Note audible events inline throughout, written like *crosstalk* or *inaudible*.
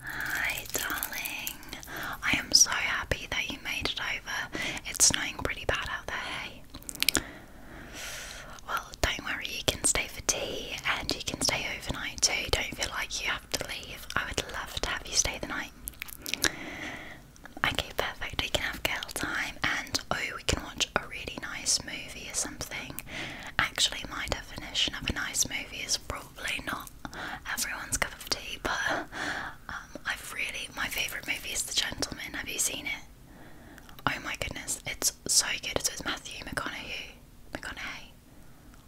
Hi, darling. I am so happy that you made it over. It's snowing pretty bad out there, hey? Well, don't worry, you can stay for tea and you can stay overnight too. Don't feel like you have to leave. I would love to have you stay the night. Okay, perfect. We can have girl time and oh, we can watch a really nice movie or something. Actually, my definition of a nice movie is probably not everyone's cup of tea, but um, I've really my favourite movie is The Gentleman. Have you seen it? Oh my goodness, it's so good. It's with Matthew McConaughey. McConaughey.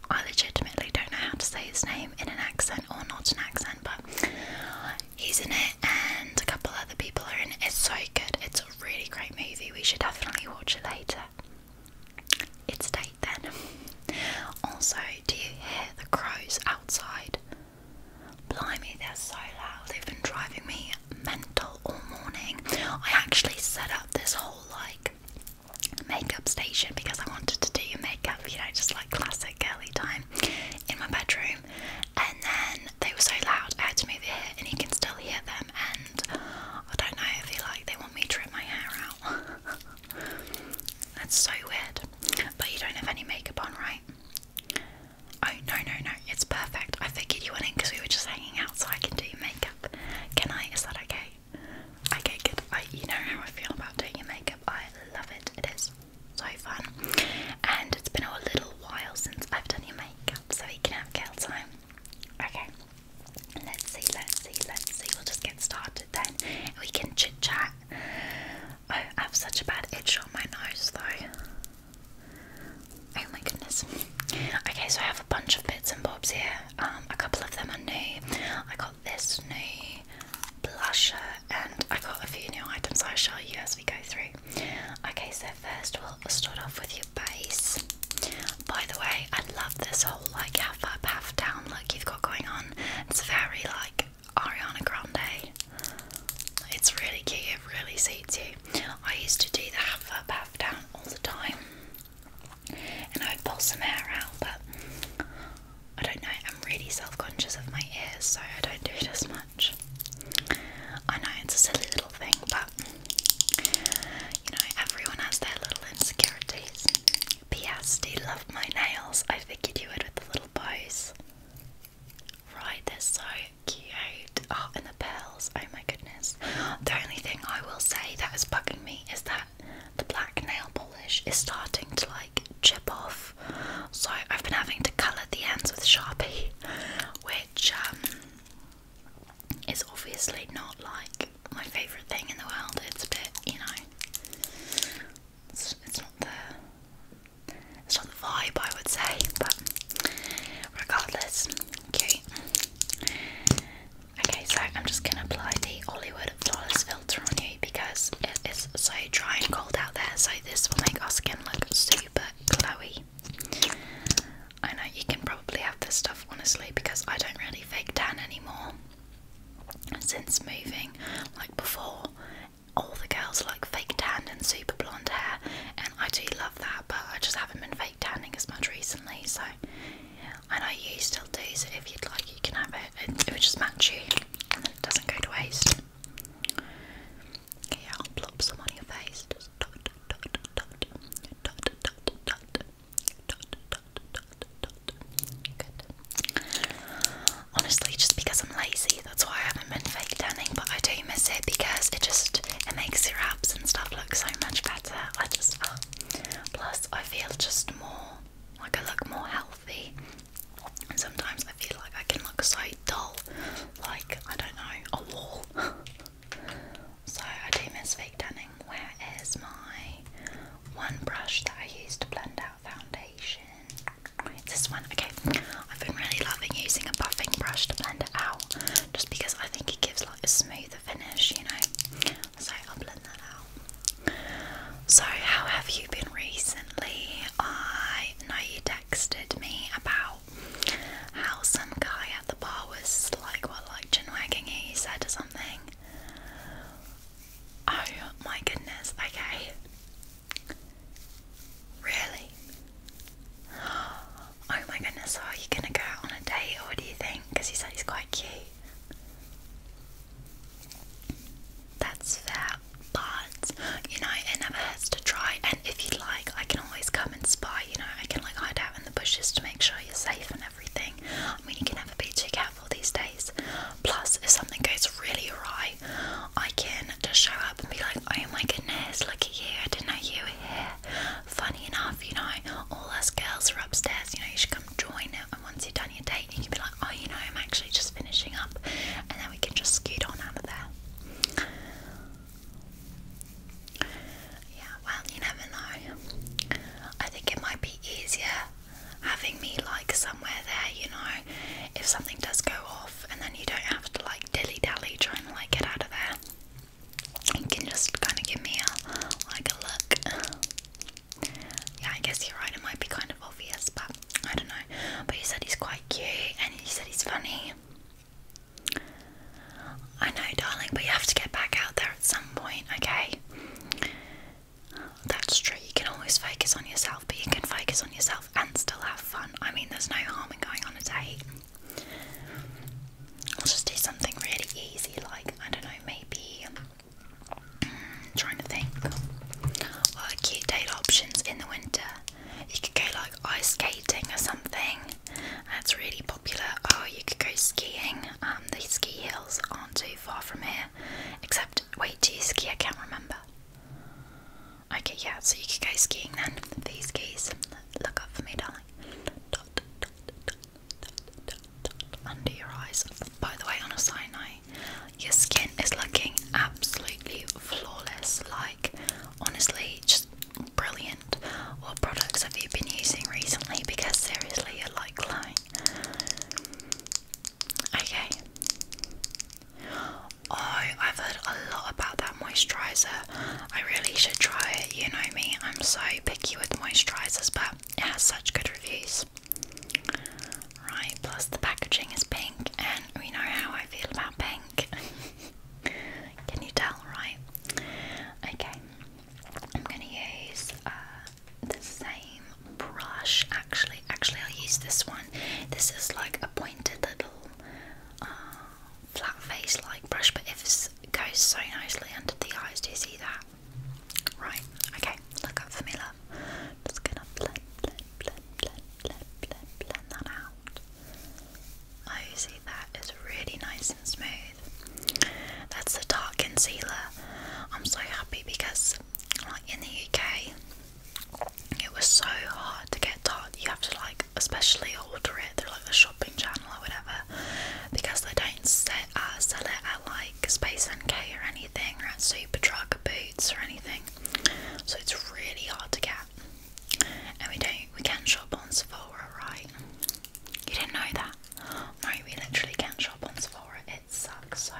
I legitimately don't know how to say his name in an accent or not an accent, but he's in it, and a couple other people are in it. It's so good. It's a really great movie. We should definitely watch it later. It's date then. Also, do you hear the crows outside? Blimey, they're so loud. They've been driving me mental all morning. I actually set up this whole like makeup station because I wanted to do your makeup, you know, just like classic girly time in my bedroom. And then they were so loud, I had to move it, and you can still hear them. And I don't know, I feel like they want me to rip my hair out. *laughs* That's so weird. But you don't have any makeup on, right? Oh, no, no, no. It's perfect. I figured you went in because we were just hanging out, so I can do your makeup. Can I? Is that okay? Okay, good. I, you know how I feel about doing your makeup. I love it. It is so fun. And it's been a little while since I've done your makeup, so we can have girl time. Okay. Let's see, let's see, let's see. We'll just get started then. We can chit chat. Oh, I have such a bad itch on my nose though. Oh my goodness. Okay, so I have a bunch of bits and bobs here. Um, a couple of them are new. I got this new blusher and I got a few new items I'll show you as we go through. Okay, so first we'll start off with your base. By the way, I love this whole like half up, half down look you've got going on. It's very like Ariana Grande. It's really cute, it really suits you. I used to do the half up, half down all the time. And I would pull some hair out, but I don't know, I'm really self conscious of my ears, so I don't do it as much. I know it's a silly little thing, but you know, everyone has their little insecurities. P.S. Do you love my nails? I figured you would with the little bows. Right, they're so cute. Oh, and the pearls. Oh my goodness. The only thing I will say that is bugging me is that the black nail polish is starting to like chip off. So I've been having to colour the ends with Sharpie, *laughs* which um, is obviously not like my favourite thing in the world. It's a bit, you know, it's, it's not the it's not the vibe I would say, but regardless, cute. Okay, so I'm just gonna apply the Hollywood Flawless Filter on you because it is so dry and cold out there. So this will make our skin look super glowy. I know you can probably have this stuff honestly because I don't really fake tan anymore. Since moving, like before, all the girls like fake tan and super blonde hair, and I do love that, but I just haven't been fake tanning as much recently. So, I know you still do, so if you'd like, you can have it. It, would just match you, and it doesn't go to waste. Okay, plop some on your face. Honestly, just because I'm lazy, that's why I haven't been fake tanning. But I do miss it because it just it makes your abs and stuff look so much better. I just *gasps* plus I feel just more like I look more healthy. And sometimes I feel like I can look so dull, like I don't know, a wall. *laughs* so I do miss fake tanning. Where is my one brush that I use to blend out foundation? It's this one. Okay, I've been really loving using a buffing brush to blend it out just because I think it gives like a smoother finish, you know. So I'll blend that out. So, how have you been recently? I know you texted me about how some guy at the bar was like, what, like chin wagging you, said, or something. Oh my goodness, okay. Really? *gasps* Oh my goodness, are you gonna go out on a date or do you think? Because he said he's quite cute. That's fair, but you know, it never hurts to try. And if you'd like, I can always come and spy, you know, I can like hide out in the bushes to make sure you're safe and everything. I mean, you can have a too careful these days. Plus, if something goes really awry, I can just show up and be like, oh my goodness, look at you, I didn't know you were here. Funny enough, you know, all us girls are upstairs, you know, you should come join it. And once you've done your date, you can be like, oh, you know, I'm actually just finishing up. And then we can just scoot on out of there. Yeah, well, you never know. I think it might be easier having me like somewhere there, you know, if something does go off and then you don't have to like dilly dally trying to like get out of there. You can just kind of give me a like a look. Yeah, I guess you're right. It might be kind of obvious, but I don't know. But you said he's quite cute, and you said he's funny. I know, darling, but you have to get back out there at some point, okay? That's true. You can always focus on yourself, but you can focus on yourself and still have fun. I mean, there's no harm in going on a date. I'll just do something really easy, like, I don't know, maybe um, trying to think. What cute date options in the winter? You could go like ice skating or something. That's really popular. Oh, you could go skiing. Um, the ski hills aren't too far from here, except Wait, do you ski? I can't remember. Okay, yeah, so you can go skiing then. These skis. Look up for me, darling. under your eyes. By the way, on a side note, your skin is looking absolutely flawless. Like, honestly, just brilliant. What products have you been using recently? Because seriously, you're like glowing. Okay. Oh, I've heard a lot about that moisturizer. I really should try it. You know me, I'm so picky with moisturizers, but it has such good reviews. Right, plus the packaging is pink, and we know how I feel about pink. *laughs* Can you tell, right? Okay, I'm gonna use uh, the same brush actually. Actually, I'll use this one. This is like a pointed little uh, flat face like brush, but it goes so nicely under the eyes. Do you see that? Right, okay, look up for me, love. Just gonna blend, blend, blend, blend, blend, blend, blend that out. Oh, you see that is really nice and smooth. That's the dark concealer. I'm so happy because because like in the UK it was so hard to get tart. You have to like especially order it through like a shopping channel or whatever because they don't set, uh, sell it at like Space NK or anything or at Superdrug or Boots or anything. So it's really hard to get. And we don't we can shop on Sephora, right? You didn't know that? No, we literally can shop on Sephora it sucks. So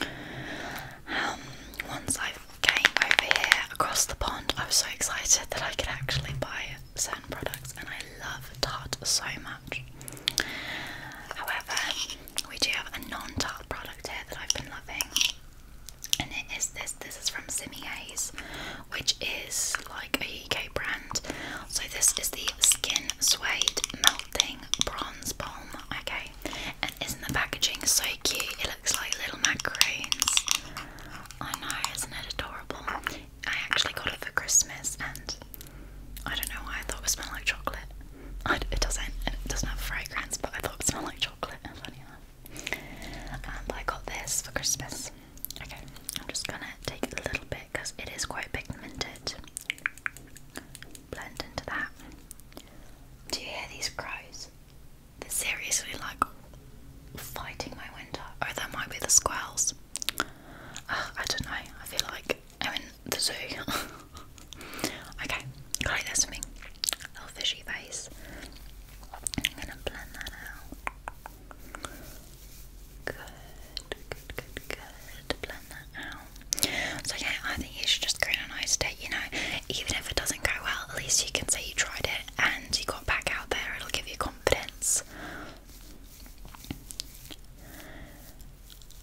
um, once I came over here across the pond, I was so excited that I could actually buy certain products, and I love Tarte so much. However, we do have a non-Tarte product here that I've been loving, and it is this. This is from Simi Simier's, which is like a UK brand. So this is the Skin Suede Melting Bronze Balm. Okay, isn't the packaging so cute? It looks like little macarons. I know, isn't it adorable? I actually got it for Christmas and I don't know why I thought it smelled like chocolate. it doesn't, it doesn't have fragrance, but I thought it smelled like chocolate, funny enough. I got this for Christmas. Okay, I'm just gonna take a little bit because it is quite pigmented blend into that. Do you hear these crows? They're seriously like fighting my window. Oh, that might be the squirrels. I don't know. I feel like I'm in the zoo. *laughs* okay, got it. That's for me. Little fishy face. I'm gonna blend that out. Good, good, good, good. Blend that out. So yeah, I think you should just go on a nice date, you know. Even if it doesn't go well, at least you can say you tried it and you got back out there, it'll give you confidence.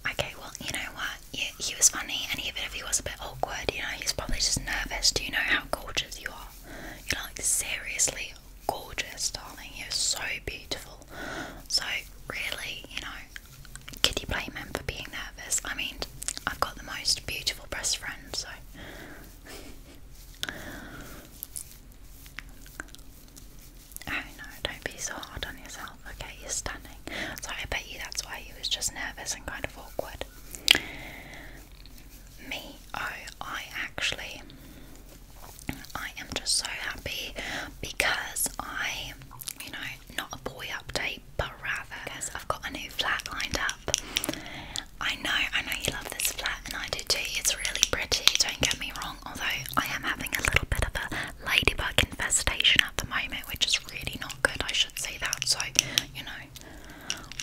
Okay, well, you know what? He, he was funny, and even if he was a bit awkward, you know, he's probably just nervous. Do you know how gorgeous you are? You're like seriously gorgeous, darling. You're so beautiful. So, really, you know, could you blame him for being nervous? I mean, I've got the most beautiful best friend, so. oh no, don't be so hard on yourself. Okay, you're stunning. So I bet you that's why he was just nervous and kind of awkward. Me, oh, I actually. I am just so happy because I, you know, not a boy update, but rather because I've got a new flat lined up. I know, I know you love this flat, and I do too. It's really pretty, don't get me wrong. Although I am having a little bit of a ladybug infestation at the moment, which is really not good. I should say that. So, you know,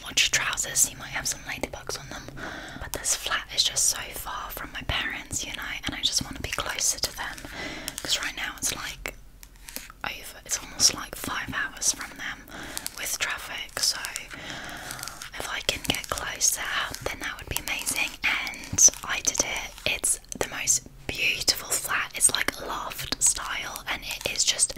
watch your trousers. You might have some ladybugs on them. But this flat is just so far from my parents, you know, and I just want to be closer to them because right now it's like it's almost like five hours from them with traffic. So if I can get close to closer, then that would be amazing. And I did it. It's the most beautiful flat. It's like loft style, and it is just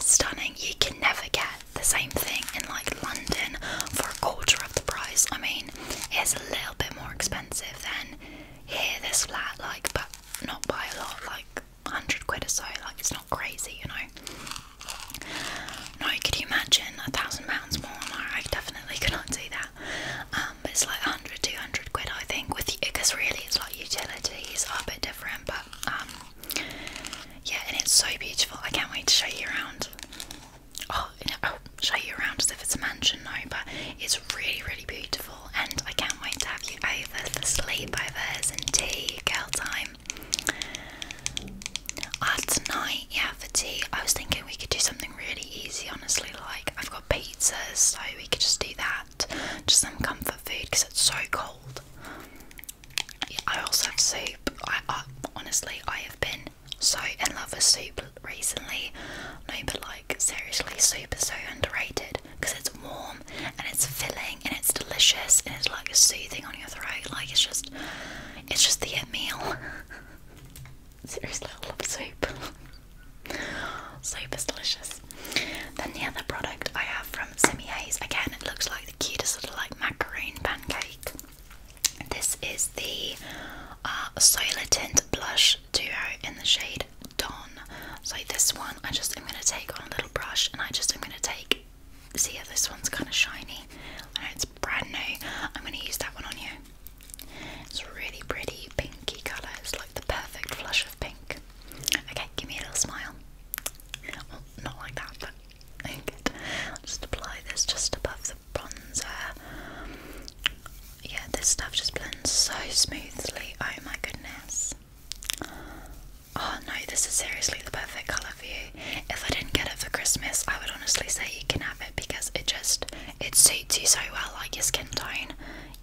stunning. You can never get the same thing in like London for a quarter of the price. I mean, it's a little bit more expensive than here. This flat, like, but not by a lot, like 100 quid or so, like it's not crazy, you know. No, could you imagine a thousand pounds more? No, I definitely cannot do that. Um, it's like 100, 200 quid, I think, with because really it's like utilities are a bit different, but um, yeah, and it's so beautiful. I can't wait to show you around. Oh, oh show you around as if it's a mansion, no, but it's really, really beautiful, and I can't wait to have you over for sleepovers and tea, girl time. Ah, uh, tonight, yeah, for tea. I was thinking we could do something really easy, honestly. Like, I've got pizzas, so we could just do that. Just some comfort food because it's so cold. Yeah, I also have soup. I, I honestly, I have been so in love with soup recently. No, but like like seriously super so underrated because it's warm and it's filling and it's delicious and it's like soothing on your throat. Like it's just, it's just the it *laughs* seriously, love soup. *laughs* soup is delicious. Then the other product I have from Semi Haze again, it looks like the cutest little like macaroon pancake. This is the uh, Solar Tint Blush brush duo in the shade Don. So this one, I just am going to take on a little brush and I just am going to take, see how this one's kind of shiny. and it's brand new. I'm going to use that one on you. It's really pretty pinky colour. It's like the perfect flush of pink. Okay, give me a little smile. Oh, not like that, but *laughs* good. just apply this just above the bronzer yeah, this stuff just blends so smoothly. Oh my goodness. Oh no, this is seriously the perfect colour for you. If I didn't get it for Christmas, I would honestly say you can have it because it just it suits you so well, like your skin tone.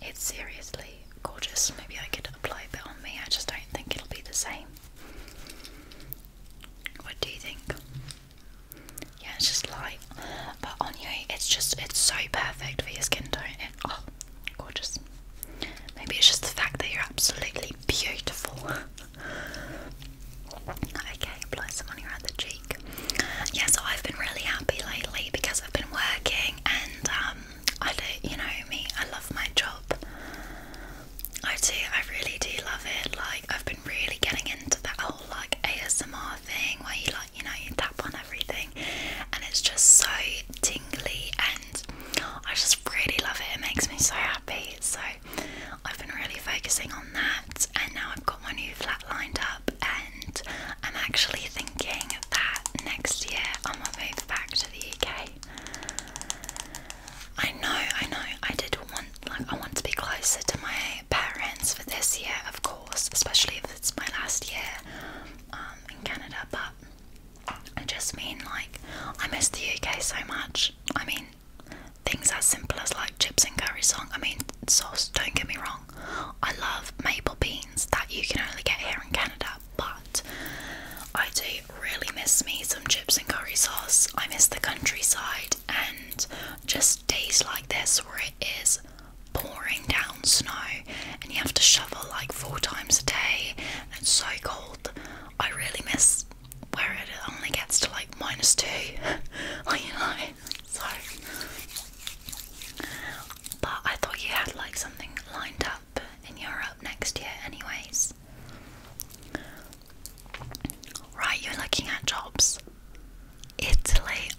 It's seriously gorgeous. Maybe I could apply a bit on me, I just don't think it'll be the same. What do you think? Yeah, it's just light, but on you, it's just it's so perfect for your skin tone. It, oh, Gorgeous. Maybe it's just the fact that you're absolutely beautiful. *laughs* okay, apply some on your other cheek. Yeah, so I've been really happy lately because I've been working and um, I you know me, I love my job. I do, I really do love it. Like, I've been really getting into that whole like ASMR thing where you you know, you tap on everything and it's just so tingly and I just really love it. It makes me so happy. So I've been really focusing on that and now I've got my new flat lined up and I'm actually thinking that next year I'm going back to the UK. I know, I know, I did want like I want to be closer to my parents for this year, of course, especially if it's my last year. Um, um, in Canada, but I just mean like I miss the UK so much. I mean, things as simple as like chips and curry sauce. I mean, sauce. Don't get me wrong. I love maple beans that you can only get here in Canada, but I do really miss me some chips and curry sauce. I miss the countryside and just days like this where it is pouring down snow and you have to shovel like four times a day it's so cold. I really miss where it only gets to like minus two. *laughs* like know. So but I thought you had like something lined up in Europe uh, next year anyways. Right, you're looking at jobs. Italy.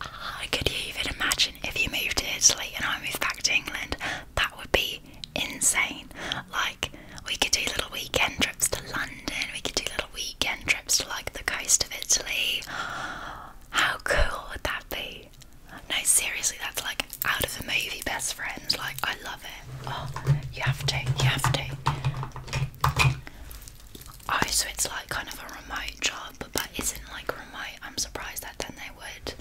I Could even imagine if you moved to Italy and I moved back to England? That would be insane. Like, we could do little weekend trips to London, we could do little weekend trips to like the coast of Italy. How cool would that be? No, seriously, that's like out of a movie, best friends. Like, I love it. Oh, you have to, you have to. Oh, so it's like kind of a remote job but that isn't like remote. I'm surprised that then they would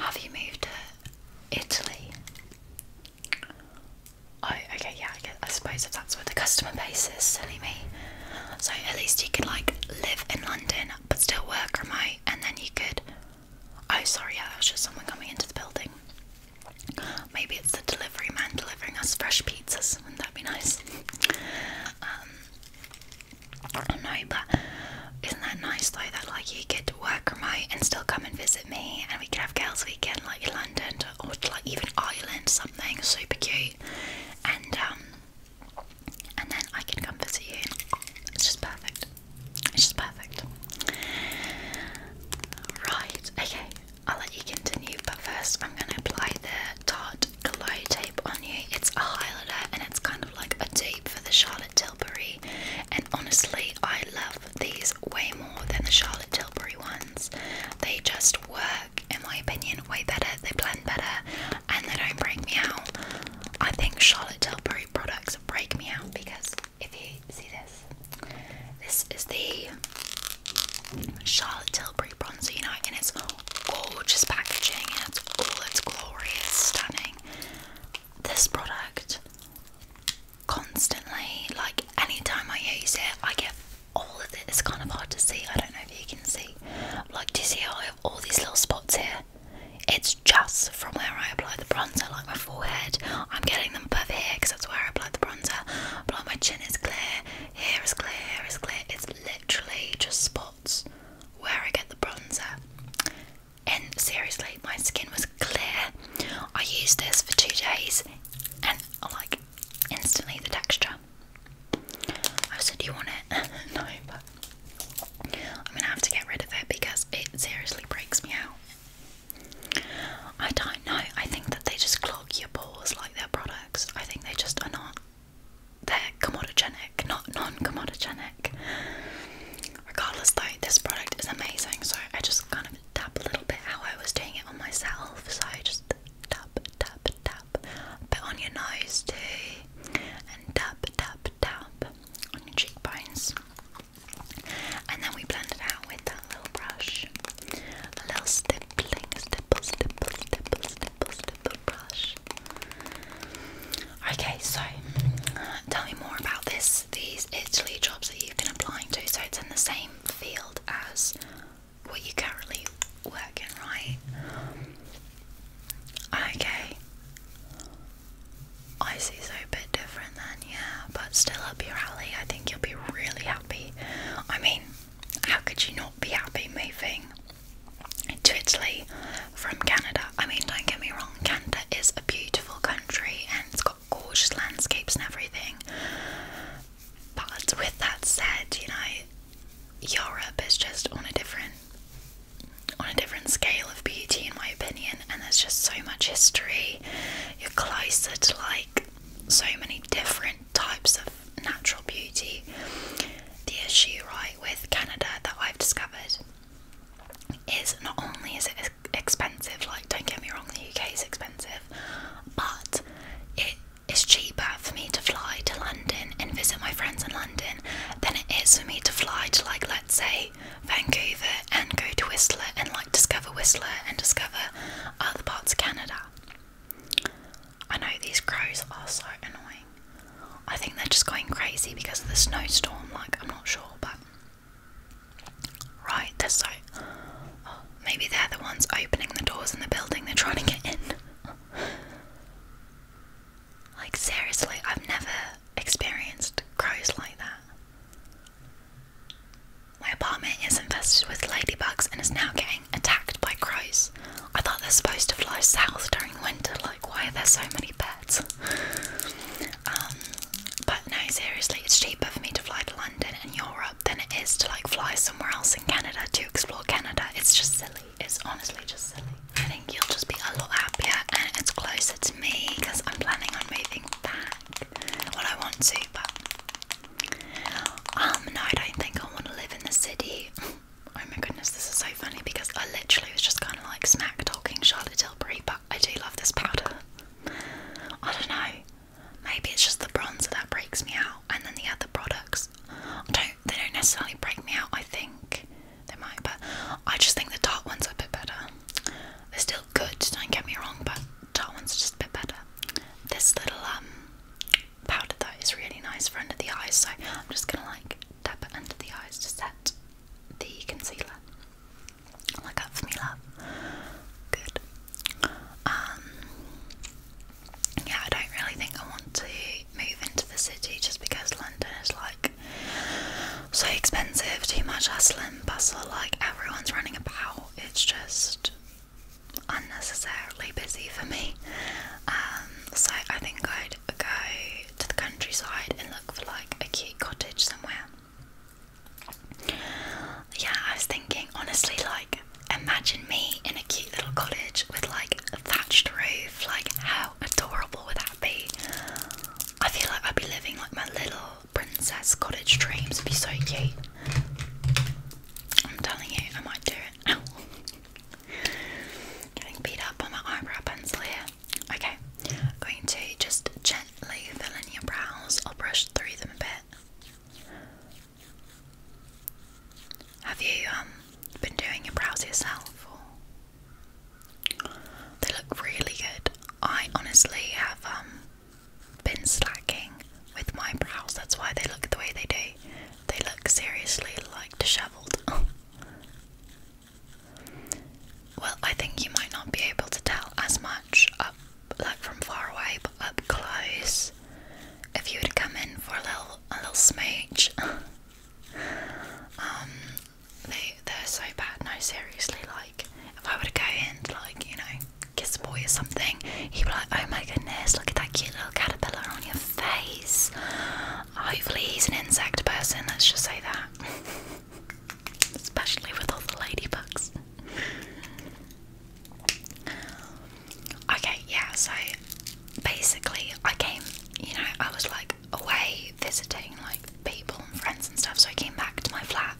have you moved to Italy. Oh, okay, yeah, I, guess, I suppose if that's where the customer base is, silly me. So at least you could like live in London but still work remote, and then you could. Oh, sorry, yeah, that was just someone coming into the building. Maybe it's the delivery man delivering us fresh pizzas. Wouldn't that be nice? Um, I but isn't that nice though that like you get to work remote and still come and visit me and we could have girls weekend like in London or like even Ireland something super cute and um, and then I can come visit you. It's just perfect. It's just perfect. Right, okay, I'll let you continue, but first I'm gonna apply the Tarte Glow Tape on you. It's a highlighter and it's kind of like a tape for the Charlotte Tilbury. And honestly, I love these way more than the Charlotte Tilbury ones. They just work, in my opinion, way better. They blend better and they don't break me out. I think Charlotte Tilbury products break me out because if you see this, this is the Charlotte Tilbury bronzer, you know, and it's gorgeous packaging and it's all its glorious, stunning this product constantly. Like anytime I use it, I get all of it. It's kind of hard to see. I don't know if you can see. Like, do you see how I have all these little spots here? It's just from where I apply the bronzer, like my forehead. I'm getting them above here because that's where I apply the bronzer. But like my chin is clear, here is clear, here is clear. It's literally just spots where I get the bronzer. And seriously, my skin was clear. I used this for two days and I like instantly the texture. I said, Do you want it? *laughs* no, but I'm gonna have to get rid of it because it seriously breaks me out. I don't know. I think that they just clog your pores like their products. I think they just are not they're commodogenic, not non-commodogenic. Regardless though, this product is amazing, so I just kind of tap a little bit how I was doing it on myself. So I just tap, tap, tap, Put on your nose too, and tap, tap, tap on your cheekbones. And then we blend it out with that little brush. A little stippling, stipple, stipple, stipple, stipple, stipple brush. Okay, so tell me more about this. These Italy jobs that you've been applying to. So it's in the same field as what you are currently working, right? Okay. I see, so a bit different then, yeah, but still up your alley. I think you'll be really happy. I mean, how could you not be happy moving to Italy from Canada. I mean, don't get me wrong, Canada is a beautiful country and it's got gorgeous landscapes and everything. But with that said, you know, Europe is just on a different on a different scale of beauty in my opinion and there's just so much history. You're closer to like so many different types of natural beauty. The issue right with Canada that I've discovered is not only is it expensive, like don't get me wrong, the UK is expensive, but it is cheaper for me to fly to London and visit my friends in London than it is for me to fly to like let's say Vancouver and go to Whistler and like discover Whistler and discover other parts of Canada. I know these crows are so annoying. I think they're just going crazy because of the snowstorm. Like, I'm not sure, but right, they're so. Oh, maybe they're the ones opening the doors in the building they're trying to get in. like, seriously, I've never experienced crows like that. My apartment is infested with ladybugs and is now getting attacked by crows. I thought they're supposed to fly south during winter, like, why are there so many birds? Um, but no, seriously, it's cheaper for me to fly to London and Europe than it is to like fly somewhere else in Canada to explore Canada. It's just silly. It's honestly just silly. I think you'll just be a lot happier and it's closer to me because I'm planning on moving back. Well, I want to, but um, no, I don't think I want to live in the city. *laughs* Oh my goodness, this is so funny because I literally was just kind of like smack talking Charlotte Tilbury, but I do love this powder. I don't know. Maybe it's just the bronzer that breaks me out, and then the other products don't. They don't necessarily break me out. I think they might, but I just think the dark ones are a bit better. They're still good. Don't get me wrong, but dark ones are just a bit better. This little um, powder though is really nice for under the eyes, so I'm just gonna like dab it under the eyes to set the concealer. Look up Good. Um, yeah, I don't really think I want to move into the city just because London is like so expensive, too much hustle and bustle, like everyone's running about. It's just unnecessarily busy for me. Um, so I think I'd go to the countryside and look for like a cute cottage somewhere. Yeah, I was thinking honestly, like, imagine me in a cute little cottage with like a thatched roof. Like, how adorable would that be? I feel like I'd be living like my little princess cottage dreams. would be so cute. I'm telling you, I might do it. Ow. *laughs* Getting beat up by my eyebrow pencil Okay, i going to just gently fill in your brows. I'll brush through them a bit. Have you um been doing your brows yourself? They look really good. I honestly have um been slacking with my brows. That's why they look the way they do. They look seriously like disheveled. *laughs* Well, I think you might not be able to tell as much up, like from far away, but up close. If you would come in for a little, a little smooch. *laughs* um, they, they're so bad. No, seriously, like if I were to go in, to, like you know, kiss a boy or something, he'd be like, "Oh my goodness, look at that cute little caterpillar on your face." Hopefully, he's an insect person. Let's just say that. *laughs* Especially with all the ladybugs. Okay, yeah, so basically I came, you know, I was like away visiting like people and friends and stuff, so I came back to my flat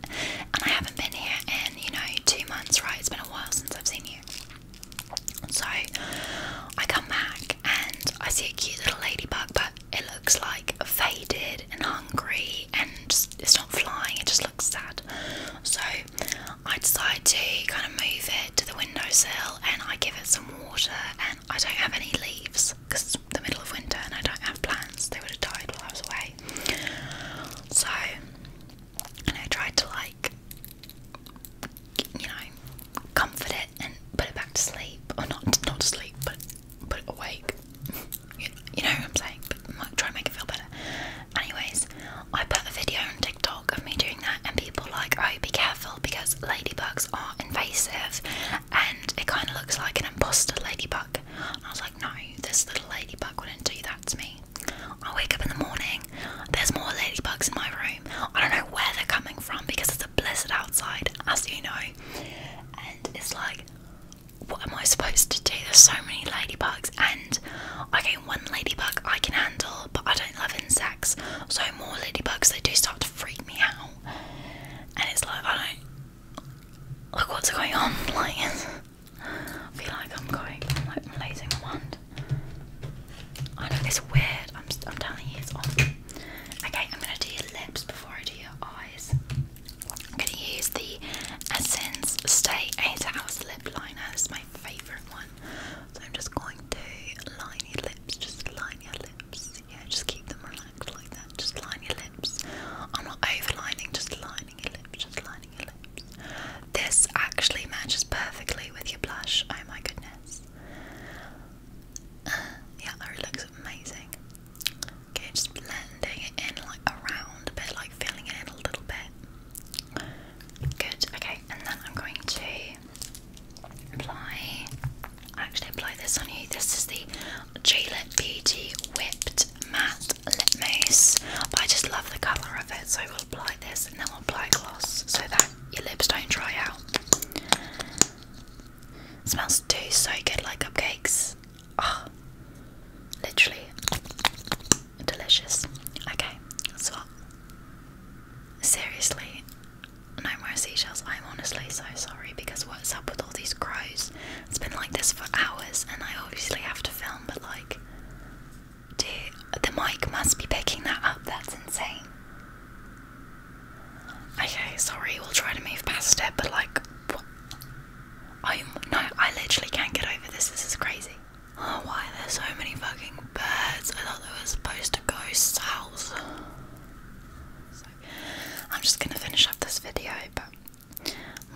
and I haven't been here in, you know, two months, right? It's been a while since I've seen you. So I come back and I see a cute little ladybug, but it looks like faded and hungry and it's not flying, it just looks sad. So I decided to kind of move it to the windowsill and I give it some water and I don't have any leaves because the middle of winter and I don't have plants, they would have died while I was away. So, and I tried to like, you know, comfort it and put it back to sleep, or not not to sleep, but put it awake. *laughs* you, know what I'm saying? But try and make it feel better. Anyways, I put a video on TikTok of me doing that, and people like, oh, be careful because ladybugs are invasive, and it kind of looks like an imposter ladybug. I was like, no, this little ladybug wouldn't do that to me. I wake up in the morning, there's more ladybugs in my room. I don't know where they're coming from because it's a blizzard outside, as you know it's like, what am I supposed to do? There's so many ladybugs, and I okay, one ladybug I can handle, but I don't love insects, so more ladybugs they do start to freak me out, and it's like I don't like what's going on. *laughs* Like, I feel like I'm going, I'm like I'm losing my mind. I know it's weird. I'm, I'm telling you, it's odd. Okay, I'm gonna do your lips before I do your eyes. I'm gonna use the Essence Stay 8 Hours Lip Liner. This my favourite one. So I'm just going to line your lips, just line your lips. Yeah, just keep them relaxed like that. Just line your lips. I'm not overlining, just lining your lips, just lining your lips. This actually matches perfectly with your blush. Oh my goodness. Uh, yeah, that looks amazing. Okay, just blending it in like around a bit, like filling it in a little bit. Good, okay, and then I'm going to apply actually apply this on you. This is the Gillette Beauty Whipped Matte Lip Mousse. I just love the colour of it, so we'll apply this and then we'll apply gloss so that your lips don't dry out smells too so good like cupcakes. Oh, literally delicious. Okay, that's Seriously, no more seashells. I'm honestly so sorry because what's up with all these crows? It's been like this for hours, and I obviously have to film, but like, dude, the mic must be picking that up. That's insane. Okay, sorry, we'll try to move past it, but like, what? I no, I literally can't get over this. This is crazy. Oh, why are there so many fucking birds? I thought they were supposed to go south. So, I'm just gonna finish up this video, but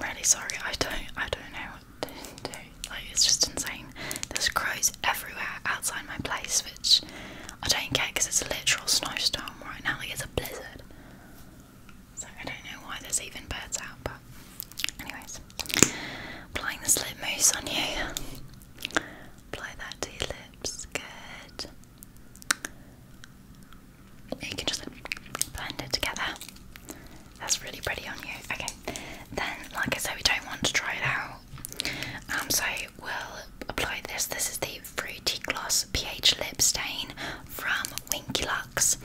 I'm really sorry. I don't, I don't know what to do. Like, it's just insane. There's crows everywhere outside my place, which I don't get because it's a literal snowstorm right now. Like, it's a blizzard. So I don't know why there's even birds out, but anyways. Applying the slip mousse on you. Apply that to your lips. Good. You can just blend it together. That's really pretty on you. Okay. Then, like I said, we don't want to try it out. Um, so we'll apply this. This is the Fruity Gloss pH Lip Stain from Winky Lux,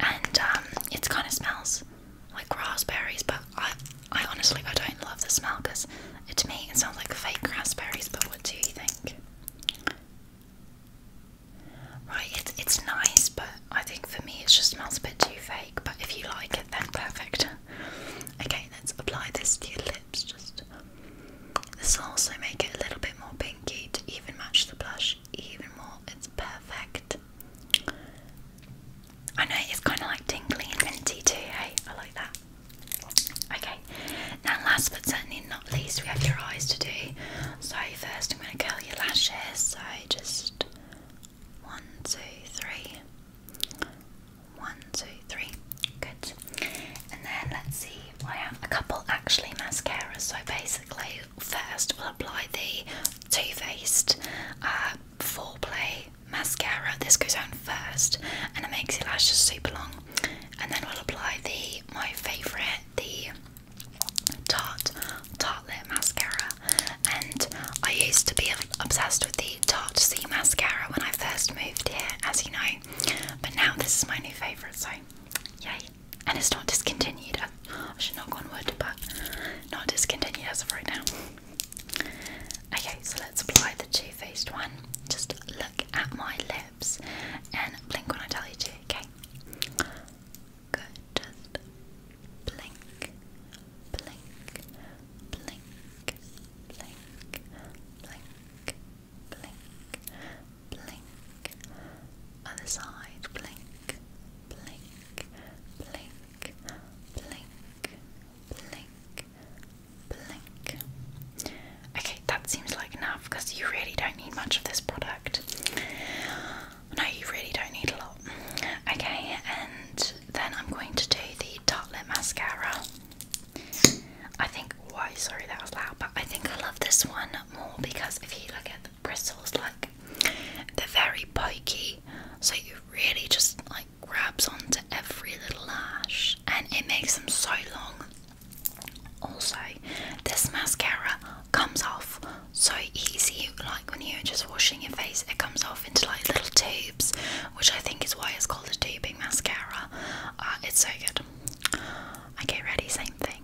and um, it kind of smells like raspberries, but I, I honestly I don't love the smell because to me it sounds like fake raspberries. But what do you think? Right, it's it's nice, but I think for me it just smells a bit too fake. But if you like it, then perfect. *laughs* Okay, let's apply this to your lips. Just. Um, this will also make it a little bit more pinky to even match the blush even more. It's perfect. I know it's kind of like tingly and minty too, hey? I like that. Okay, now last but certainly not least, we have your eyes to do. So first I'm going to curl your lashes, so just one, two, three. One, two, three. Good. And then let's see, I have a couple actually mascaras. So basically, first we'll apply the Too Faced uh, Foreplay mascara. This goes on first, and it makes your lashes super long. And then we'll apply the my favourite, the Tarte Tartlet mascara. And I used to be obsessed with the Tarte C mascara when I first moved here, as you know. But now this is my new favourite, so Yay. And it's not discontinued. I, I should knock on wood, but not discontinued as of right now. Okay, so let's apply the 2 Faced one. Just look at my lips and blink when I tell you to, okay? Good. blink, blink, blink, blink, blink, blink, blink. Other side, blink, blink, blink, blink, blink, blink. Okay, that seems like enough because you really don't need much of this product. No, you really don't need a lot. Okay, and then I'm going to do the Tarte Mascara. I think why sorry that was loud, but I think I love this one more because if you look at the bristles, like they're very pokey, so you really just like grabs onto every little lash and it makes them so long. Also, this mascara comes off so easy. Like when you're just washing your face, it comes off into like little tubes, which I think is why it's called a tubing mascara. Uh, it's so good. Okay, ready? Same thing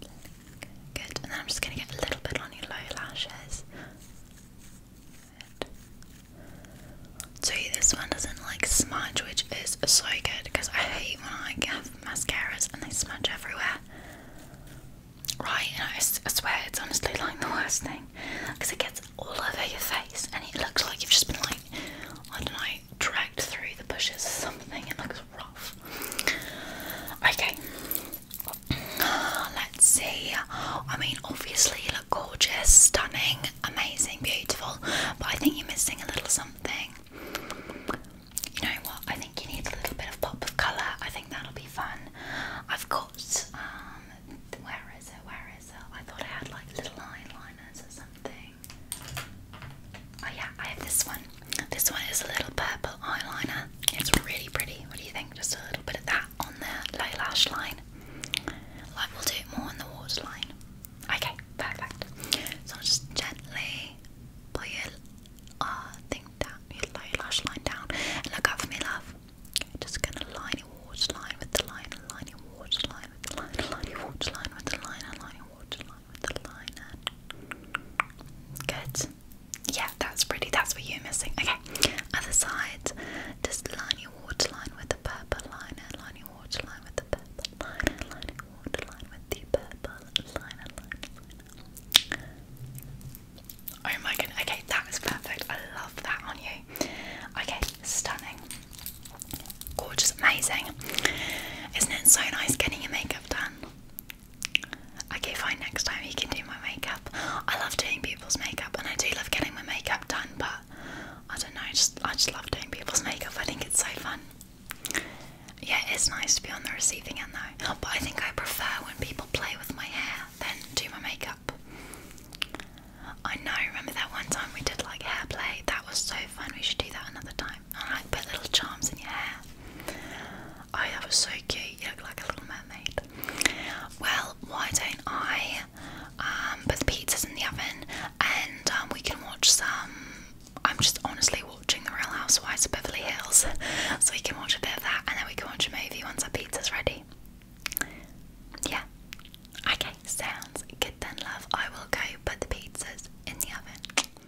Good, and then I'm just gonna get a little bit on your low lashes. Good. So this one doesn't like smudge, which is so good because I hate when I have mascaras and they smudge everywhere. Right, and I, swear it's honestly like the worst thing because it gets all over your face and it looks like you've just been like, I don't know, dragged through the bushes or something. It looks Okay, let's see. I mean, obviously, you look gorgeous, stunning, amazing, beautiful, but I think you're missing a little something. You know what? I think you need a little bit of pop of colour. I think that'll be fun. I've got, um, where is it? Where is it? I thought I had like little eyeliners or something. Oh yeah, I have this one. This one is a little purple eyeliner. It's really pretty. What do you think? Just a little bit of that on the low lash line. Like will do it more on the waterline. Okay, perfect. So just gently pull your uh, thing down, your low lash line down. And look up for me, love. just gonna line your waterline with the line, line your waterline with the line, line your waterline with the line, line your waterline line with the liner. Good. Yeah, that's pretty. That's what you're missing. Okay. Other side. Just line your waterline with the purple liner. Line your waterline with the purple liner. Line your waterline with the purple liner. Liner. liner. Oh my goodness. Okay, that was perfect. I love that on you. Okay, stunning. Gorgeous, amazing. Isn't it so nice getting your makeup done? Okay, fine, next time you can do my makeup. I love doing people's makeup and I do love getting my makeup done, but I don't know, I just, I just love doing people's makeup. I think it's so fun. Yeah, it's nice to be on the receiving end though, but I think I prefer when people play with my hair than do my makeup. I know, remember that one time we did like hair play? That was so fun, we should do that another time and like put little charms in your hair. Oh, that was so cute. You look like a little mermaid. Well, why don't I um, put the pizzas in the oven and um, we can watch some. I'm just honestly watching The Real Housewives of Beverly Hills, *laughs* so we can watch a bit of that and then we can watch a movie once our pizza's ready. Yeah. Okay, sounds good then, love. I will go put the pizzas in the oven.